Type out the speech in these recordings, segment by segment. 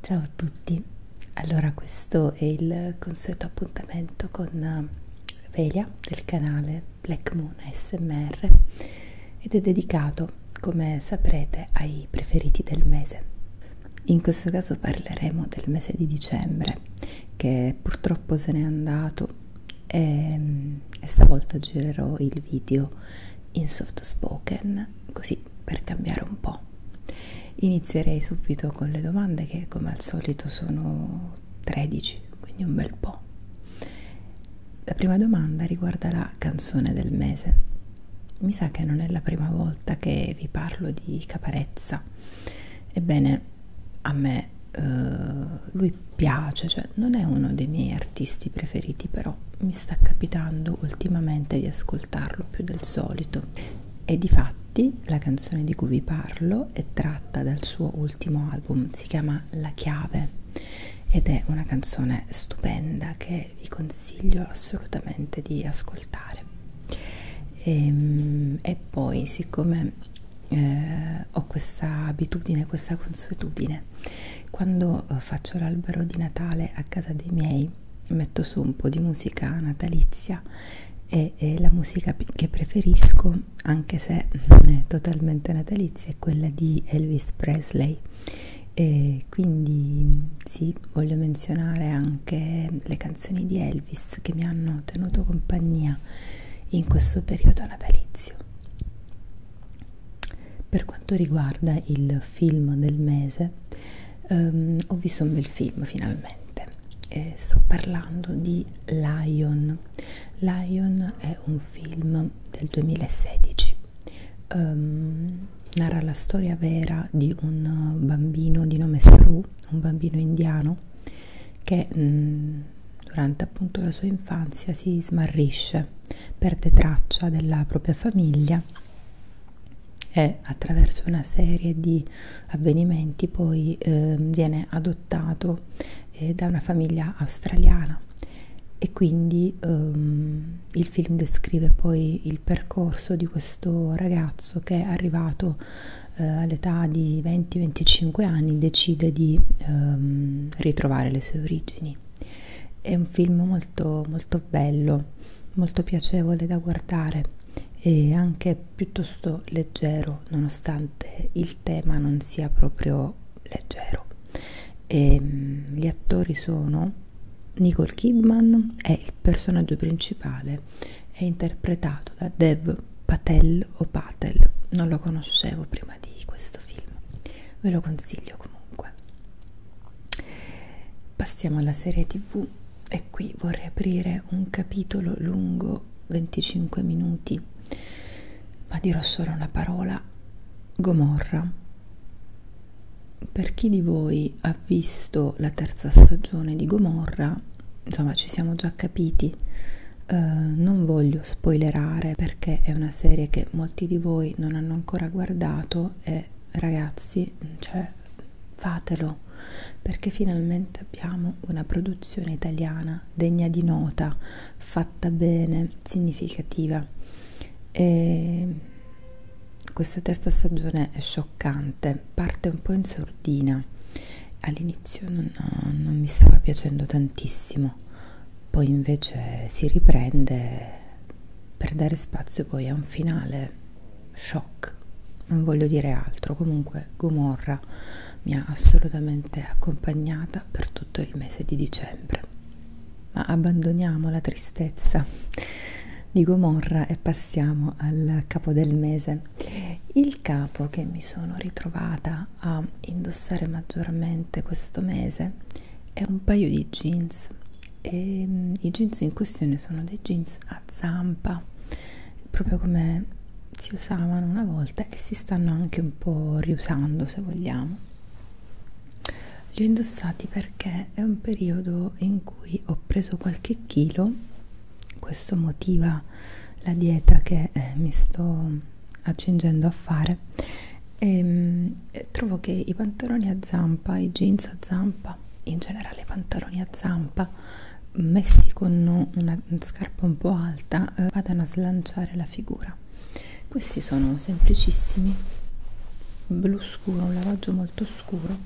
Ciao a tutti, allora questo è il consueto appuntamento con eh, Velia del canale Black Moon ASMR ed è dedicato, come saprete, ai preferiti del mese. In questo caso parleremo del mese di dicembre c'è che purtroppo se n'è andato e, e stavolta girerò il video in soft spoken così per cambiare un po' inizierei subito con le domande che come al solito sono 13 quindi un bel po' la prima domanda riguarda la canzone del mese mi sa che non è la prima volta che vi parlo di Caparezza ebbene a me uh, lui piace, cioè non è uno dei miei artisti preferiti, però mi sta capitando ultimamente di ascoltarlo più del solito. E di fatti la canzone di cui vi parlo è tratta dal suo ultimo album, si chiama La Chiave ed è una canzone stupenda che vi consiglio assolutamente di ascoltare ascoltare e, ehm, e poi siccome eh, ho questa abitudine questa consuetudine quando eh, faccio l'albero di Natale a casa dei miei metto su un po' di musica natalizia e, e la musica che preferisco anche se non è totalmente natalizia è quella di Elvis Presley e quindi sì voglio menzionare anche le canzoni di Elvis Elvis che mi hanno tenuto compagnia in questo periodo natalizio. Per quanto riguarda il film del mese, ehm, ho visto un bel film finalmente. E sto parlando di Lion. Lion è un film del 2016. Um, ehm, narra la storia vera di un bambino di nome Saru un bambino indiano che mh, mm, durante appunto la sua infanzia si smarrisce, perde traccia della propria famiglia e attraverso una serie di avvenimenti poi eh, viene adottato eh, da una famiglia australiana e quindi ehm, il film descrive poi il percorso di questo ragazzo che è arrivato eh, all'età di 20-25 anni decide di ehm, ritrovare le sue origini. È un film molto, molto bello, molto piacevole da guardare e anche piuttosto leggero, nonostante il tema non sia proprio leggero. E, ehm, gli attori sono Nicole Kidman è il personaggio principale è interpretato da Dev Patel o Patel, non lo conoscevo prima di questo film, ve lo consiglio comunque. Passiamo alla serie tv e qui vorrei aprire un capitolo lungo 25 minuti, ma dirò solo una parola, Gomorra. Per chi di voi ha ha visto la terza stagione di Gomorra, insomma ci siamo già capiti, eh, non voglio spoilerare perché è una serie che molti di voi non hanno ancora guardato e ragazzi, cioè, fatelo perché finalmente abbiamo una produzione italiana degna di nota, fatta bene, significativa. E questa terza stagione è scioccante, parte un po' in sordina, all'inizio non, non mi stava piacendo tantissimo, poi invece si riprende per dare spazio poi a un finale shock, non voglio dire altro, comunque Gomorra mi ha assolutamente accompagnata per tutto il mese di dicembre. Ma abbandoniamo la tristezza, di Gomorra e passiamo al capo del mese. Il capo che mi sono ritrovata a indossare maggiormente questo mese è un paio di jeans e mm, i jeans in questione sono dei jeans a zampa, proprio come si usavano una volta e si stanno anche un po' riusando se vogliamo. Li ho indossati perché è un periodo in cui ho preso qualche chilo questo motiva la dieta che eh, mi sto accingendo a fare e ehm, mh, trovo che i pantaloni a zampa i jeans a zampa in generale i pantaloni a zampa messi con una scarpa un po' alta eh, vadano a slanciare la figura questi sono semplicissimi blu scuro un lavaggio molto scuro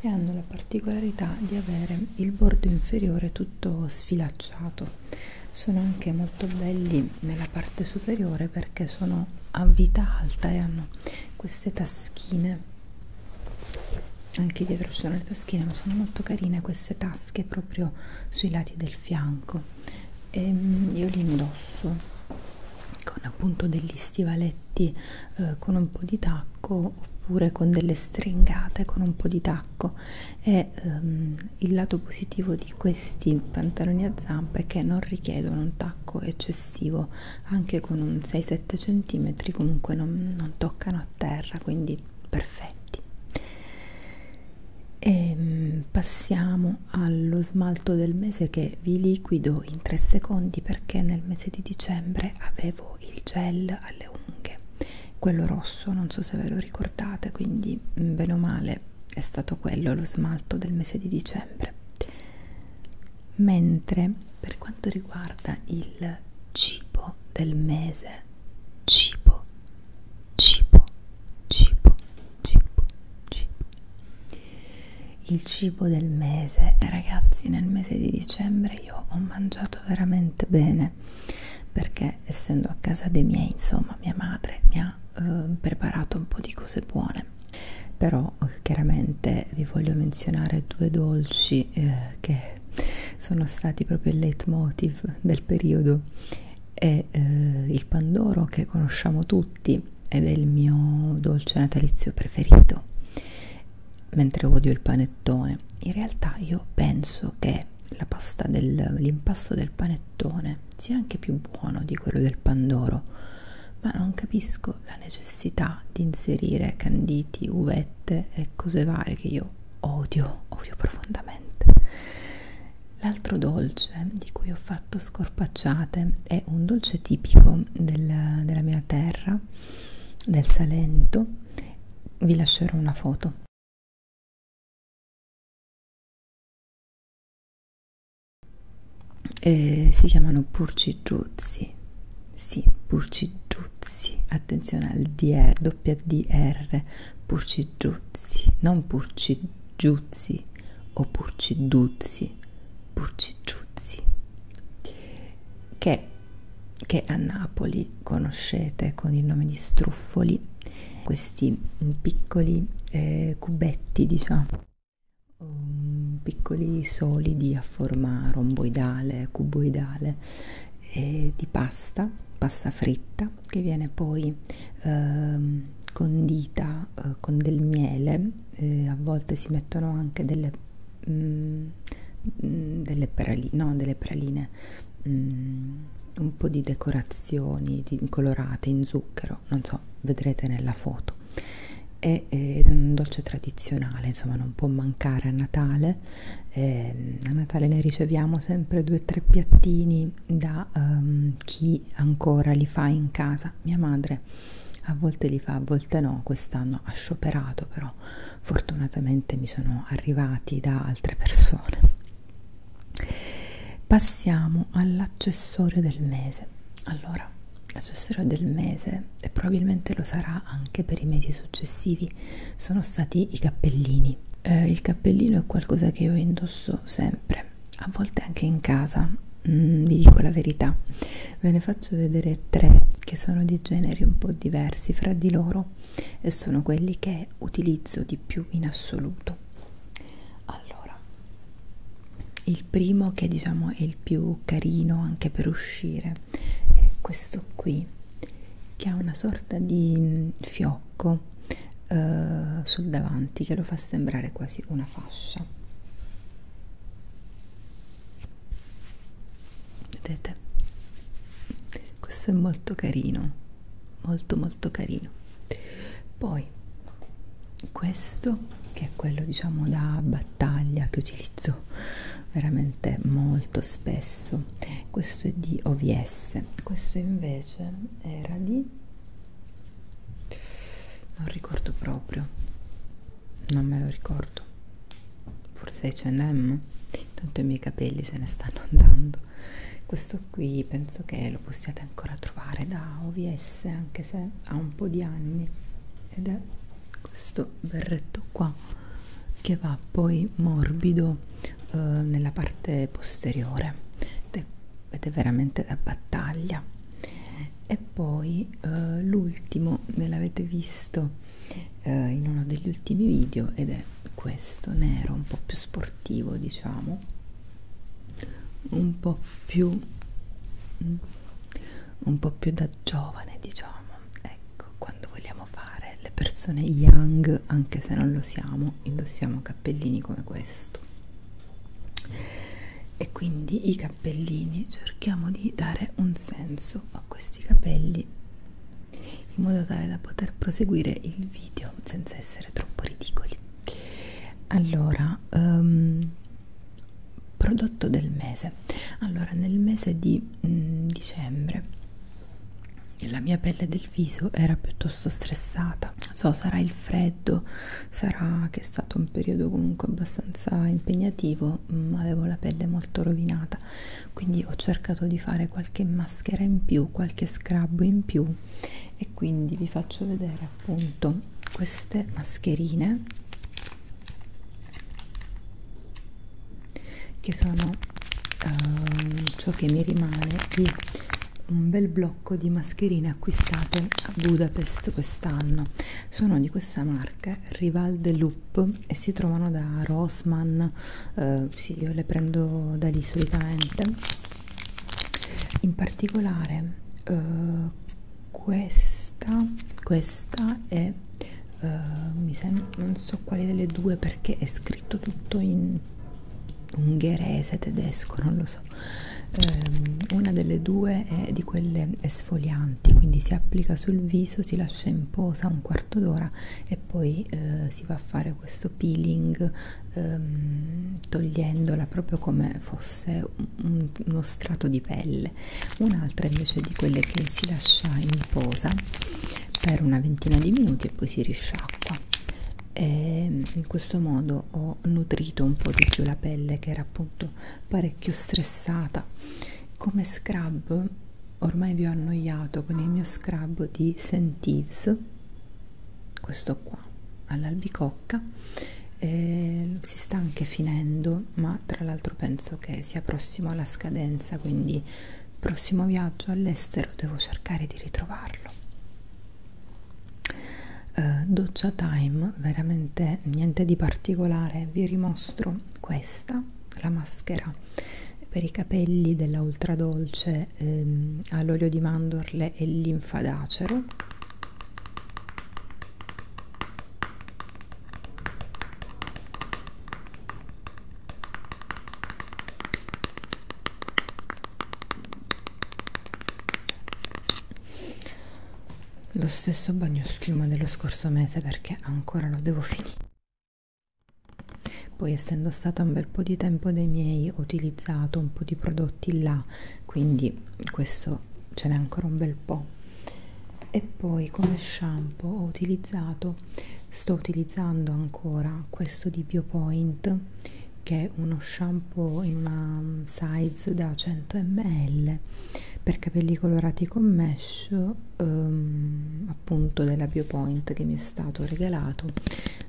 e hanno la particolarità di avere il bordo inferiore tutto sfilacciato sono anche molto belli nella parte superiore perché sono a vita alta e hanno queste taschine anche dietro ci sono le taschine ma sono molto carine queste tasche proprio sui lati del fianco e ehm, io li indosso con appunto degli stivaletti eh, con un po' di tacco oppure con delle stringate con un po' di tacco e ehm, il lato positivo di questi pantaloni a zampa è che non richiedono un tacco eccessivo anche con un 6-7 cm comunque non, non toccano a terra quindi perfetti e ehm, passiamo allo smart alto del mese che vi liquido in 3 secondi perché nel mese di dicembre avevo il gel alle unghhe, quello rosso, non so se ve lo ricordate, quindi mm, bene o male è stato quello lo smalto del mese di dicembre. Mentre per quanto riguarda il cibo del mese, cibo, cibo, cibo, cibo, cibo, il cibo del mese ragazzi nel mese di dicembre io ho mangiato veramente bene perché essendo a casa dei miei insomma mia madre mi ha eh, preparato un po' di cose buone però eh, chiaramente vi voglio menzionare due dolci eh, che sono stati proprio il leitmotiv del periodo è eh, il pandoro che conosciamo tutti ed è il mio dolce natalizio preferito, mentre odio il panettone. In realtà io penso che la pasta dell'impasto del panettone sia anche più buono di quello del pandoro, ma non capisco la necessità di inserire canditi, uvette e cose varie che io odio, odio profondamente. L'altro dolce di cui ho fatto scorso scorpacciate è un dolce tipico del, della mia terra, del Salento. Vi lascerò una foto. Eh, si chiamano purcigiuzzi, sì, purcigiuzzi, attenzione al DR, doppia DR, purcigiuzzi, non purcigiuzzi o purciduzzi, Burcicciuzzi che, che a Napoli conoscete con il nome di struffoli questi piccoli eh, cubetti diciamo um, piccoli solidi a forma romboidale cuboidale eh, di pasta pasta fritta che viene poi eh, condita eh, con del miele eh, a volte si mettono anche delle, mm, delle, praline, no, delle praline mm, un po' di decorazioni di, colorate in zucchero, non so, vedrete nella foto. È, eh, è un dolce tradizionale, insomma, non può mancare a Natale. Eh, a Natale ne riceviamo sempre due o tre piattini da um, chi ancora li fa in casa. Mia madre a volte li fa, a volte no, quest'anno ha scioperato, però fortunatamente mi sono arrivati da altre persone. Passiamo all'accessorio del mese. Allora, l'accessorio del mese, e probabilmente lo sarà anche per i mesi successivi, sono stati i cappellini. Eh, il cappellino è qualcosa che io indosso sempre a volte anche in casa, mm, vi dico la verità, ve ne faccio vedere tre che sono di generi un po' diversi fra di loro e sono quelli che utilizzo di più in assoluto. Allora, il primo che diciamo è il più carino anche per uscire è questo qui che ha una sorta di mm, fiocco eh, sul davanti che lo fa sembrare quasi una fascia vedete questo è molto carino molto molto carino poi questo che è quello diciamo da battaglia che utilizzo veramente molto spesso questo è di OVS questo invece era di non ricordo proprio non me lo ricordo forse H&M tanto i miei capelli se ne stanno andando questo qui penso che lo possiate ancora trovare da OVS anche se ha un po' di anni ed è questo berretto qua che va poi morbido eh, nella parte posteriore ed è, ed è veramente da battaglia e poi eh, l'ultimo me l'avete visto eh, in uno degli ultimi video ed è questo nero un po' più sportivo diciamo un po' più mm, un po' più da giovane diciamo ecco quando vogliamo fare le persone young anche se non lo siamo indossiamo cappellini come questo e quindi i cappellini cerchiamo di dare un senso a questi capelli in modo tale da poter proseguire il video senza essere troppo ridicoli allora um, prodotto del mese allora nel mese di mh, mm, dicembre la mia pelle del viso era piuttosto stressata non so sarà il freddo sarà che è stato un periodo comunque abbastanza impegnativo mh, avevo la pelle molto rovinata quindi ho cercato di fare qualche maschera in più qualche scrub in più e quindi vi faccio vedere appunto queste mascherine che sono uh, ciò che mi rimane di un bel blocco pacco di mascherine acquistate a Budapest quest'anno sono di questa marca Rival de Loop e si trovano da Rossmann eh, sì io le prendo da lì solitamente in particolare eh, questa questa è eh, mi sembra non so quale delle due perché è scritto tutto in ungherese, tedesco, non lo so. Eh, una delle due è di quelle esfolianti, quindi si applica sul viso, si lascia in posa un quarto d'ora e poi eh, si va a fare questo peeling ehm, togliendola proprio come fosse un, uno strato di pelle. Un'altra invece di quelle che si lascia in posa per una ventina di minuti e poi si risciacqua e ehm, in questo modo ho nutrito un po' di più la pelle che era appunto parecchio stressata come scrub ormai vi ho annoiato con il mio scrub di Sentives questo qua all'albicocca eh, si sta anche finendo ma tra l'altro penso che sia prossimo alla scadenza quindi prossimo viaggio all'estero devo cercare di ritrovarlo eh, doccia time veramente niente di particolare vi rimostro questa la maschera per i capelli della ultra dolce ehm, all'olio di mandorle e linfadacero lo stesso bagno schiuma dello scorso mese perché ancora lo devo finire poi essendo stato un bel po' di tempo dei miei ho utilizzato un po' di prodotti là quindi questo ce n'è ancora un bel po' e poi come shampoo ho utilizzato sto utilizzando ancora questo di biopoint che è uno shampoo in una mm, size da 100 ml per capelli colorati con mesh ehm, appunto della biopoint che mi è stato regalato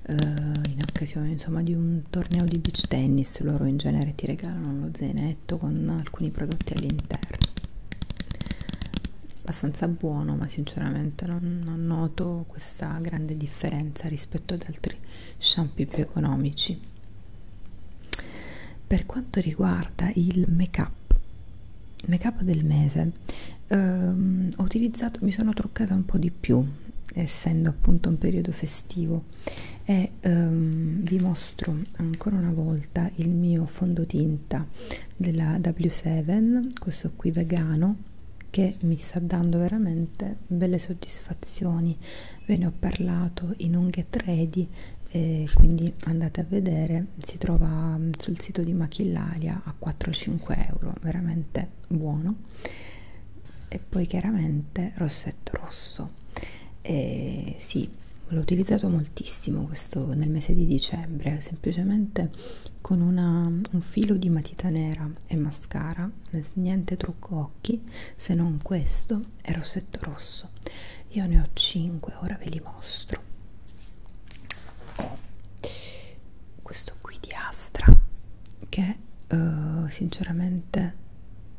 eh, in occasione insomma di un torneo di beach tennis loro in genere ti regalano lo zainetto con alcuni prodotti all'interno abbastanza buono ma sinceramente non, non noto noto questa grande differenza rispetto ad altri shampoo più economici per quanto riguarda il make up make up del mese ehm, ho utilizzato mi sono truccata un po di più essendo appunto un periodo festivo e ehm, vi mostro ancora una volta il mio fondotinta della W7 questo qui vegano che mi sta dando veramente belle soddisfazioni ve ne ho parlato in unghie 3D e quindi andate a vedere si trova mm, sul sito di Machillaria a 4-5 euro veramente buono e poi chiaramente rossetto rosso e sì l'ho utilizzato moltissimo questo nel mese di dicembre semplicemente base con una, un filo di matita nera e mascara niente trucco occhi se non questo e rossetto rosso io ne ho 5 ora ve li mostro ho questo qui di Astra che uh, sinceramente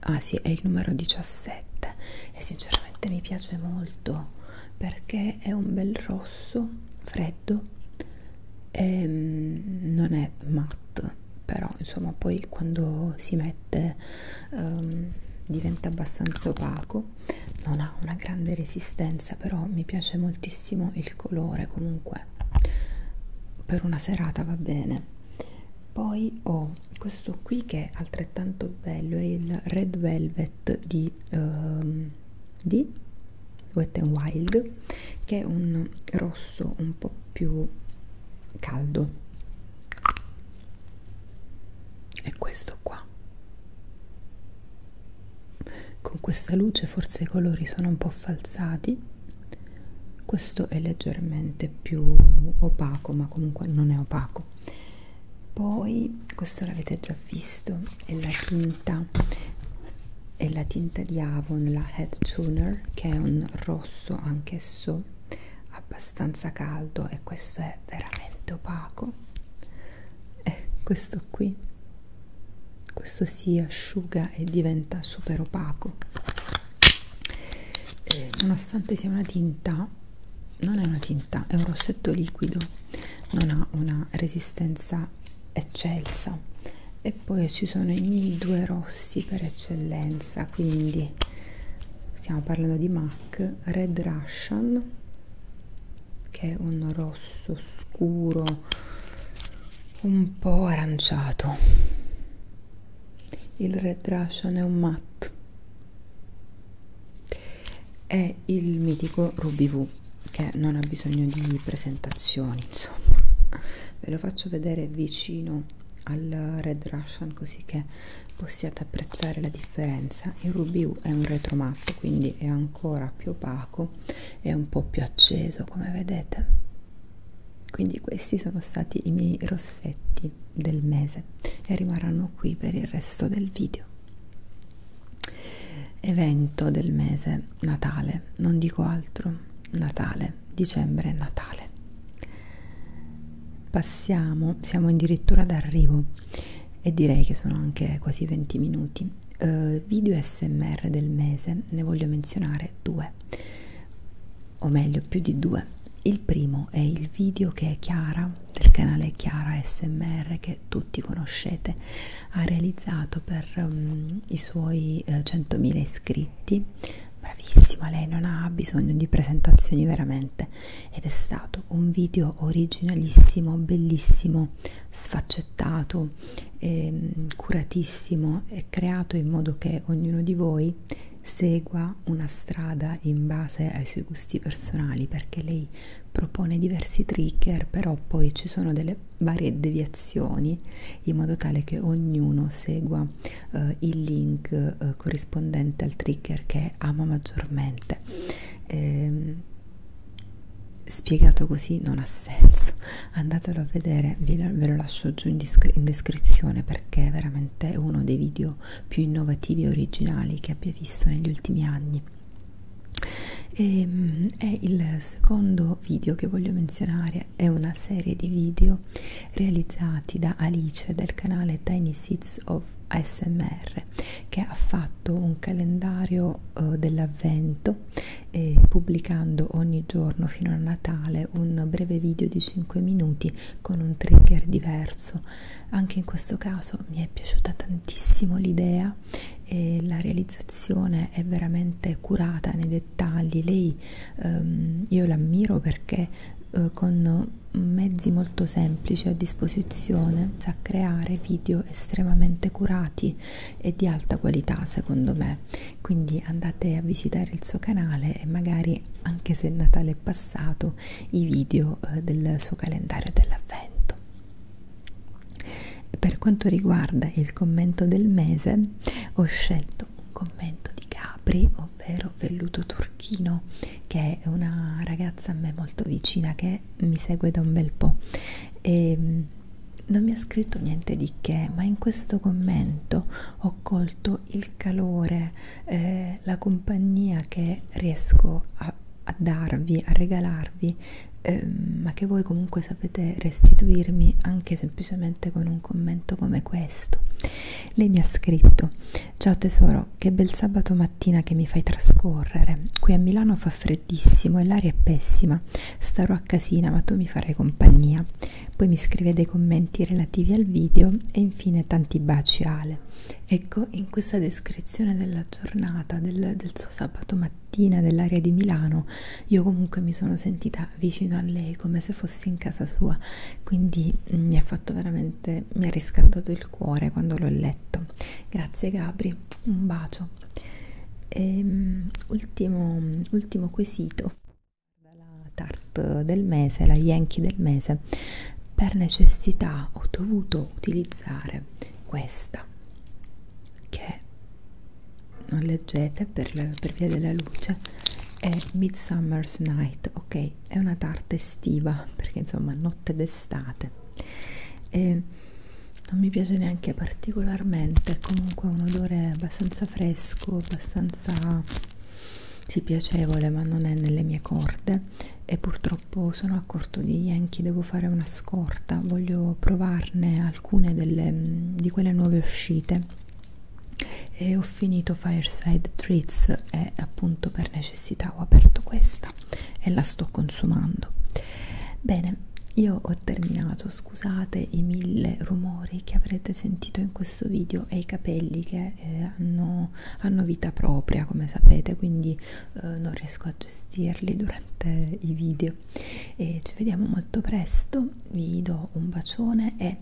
ah sì è il numero 17 e sinceramente mi piace molto perché è un bel rosso freddo matto ehm, e non è matte però insomma poi quando si mette um, diventa abbastanza opaco non ha una grande resistenza però mi piace moltissimo il colore comunque per una serata va bene poi ho questo qui che è altrettanto bello è il red velvet di um, di Wet n Wild che è un rosso un po' più caldo è questo qua con questa luce forse i colori sono un po' falsati questo è leggermente più opaco ma comunque non è opaco poi questo l'avete già visto è la tinta è la tinta di Avon, la Head Tuner, che è un rosso anch'esso abbastanza caldo e questo è veramente opaco. E questo qui, questo si asciuga e diventa super opaco. E nonostante sia una tinta, non è una tinta, è un rossetto liquido, non ha una resistenza eccelsa e poi ci sono i miei due rossi per eccellenza quindi stiamo parlando di MAC Red Russian che è un rosso scuro un po' aranciato il Red Russian è un matte è il mitico Ruby V che non ha bisogno di presentazioni insomma ve lo faccio vedere vicino al Red Russian così che possiate apprezzare la differenza il Ruby U è un retromatto quindi è ancora più opaco e un po' più acceso come vedete quindi questi sono stati i miei rossetti del mese e rimarranno qui per il resto del video evento del mese Natale, non dico altro, Natale, dicembre Natale. Passiamo, siamo addirittura d'arrivo e direi che sono anche quasi 20 minuti. Uh, video SMR del mese, ne voglio menzionare due, o meglio più di due. Il primo è il video che è Chiara del canale Chiara SMR che che tutti conoscete ha realizzato per um, i suoi eh, 100.000 iscritti bravissima lei non ha bisogno di presentazioni veramente ed è stato un video originalissimo bellissimo sfaccettato eh, curatissimo e creato in modo che ognuno di voi segua una strada in base ai suoi gusti personali perché lei propone diversi trigger, però poi ci sono delle varie deviazioni in modo tale che ognuno segua eh, il link eh, corrispondente al trigger che ama maggiormente. Ehm, spiegato così non ha senso, andatelo a vedere, ve lo lascio giù in, in descrizione perché è veramente uno dei video più innovativi e originali che abbia visto negli ultimi anni e, ehm, è il secondo video che voglio menzionare è una serie di video realizzati da Alice del canale Tiny Seeds of ASMR che ha fatto un calendario eh, dell'avvento eh, pubblicando ogni giorno fino a Natale un breve video di 5 minuti con un trigger diverso anche in questo caso mi è piaciuta tantissimo l'idea bella e la realizzazione è veramente curata nei dettagli. Lei ehm, io l'ammiro perché eh, con mezzi molto semplici a disposizione sa creare video estremamente curati e di alta qualità secondo me quindi andate a visitare il suo canale e magari anche se Natale è passato i video eh, del suo calendario dell'avvento per quanto riguarda il commento del mese, ho scelto un commento di Capri, ovvero Velluto Turchino, che è una ragazza a me molto vicina che mi segue da un bel po'. E ehm, non mi ha scritto niente di che, ma in questo commento ho colto il calore, eh, la compagnia che riesco a a darvi, a regalarvi, eh, ma che voi comunque sapete restituirmi anche semplicemente con un commento come questo. Lei mi ha scritto: Ciao tesoro, che bel sabato mattina che mi fai trascorrere. Qui a Milano fa freddissimo e l'aria è pessima. Starò a casina, ma tu mi farai compagnia. Poi mi scrive dei commenti relativi al video e infine tanti baci Ale. Ecco, in questa descrizione della giornata, del, del suo sabato mattina, dell'area di Milano, io comunque mi sono sentita vicino a lei come se fossi in casa sua, quindi mm, mi ha fatto veramente, mi ha riscaldato il cuore quando l'ho letto. Grazie Gabri, un bacio. E, ehm, ultimo, ultimo quesito. La tart del mese, la Yankee del mese per necessità ho dovuto utilizzare questa che non leggete per, la, per via della luce è Midsummer's Night ok è una tarta estiva perché insomma notte d'estate e non mi piace neanche particolarmente comunque un odore abbastanza fresco abbastanza sì, piacevole ma non è nelle mie corde e purtroppo purtroppo sono a corto di Yankee, devo fare una scorta, voglio provarne alcune delle, mm, di quelle nuove uscite e ho finito Fireside Treats e appunto per necessità ho aperto questa e la sto consumando. Bene, io ho terminato, scusate i mille rumori che avrete sentito in questo video e i capelli che eh, hanno, hanno vita propria come sapete, quindi eh, non riesco a gestirli durante i video e ci vediamo molto presto vi do un bacione e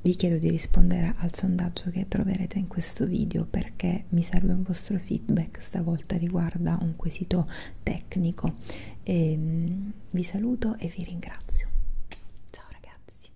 vi chiedo di rispondere al sondaggio che troverete in questo video perché mi serve un vostro feedback stavolta riguarda un quesito tecnico e, ehm, vi saluto e vi ringrazio ciao ragazzi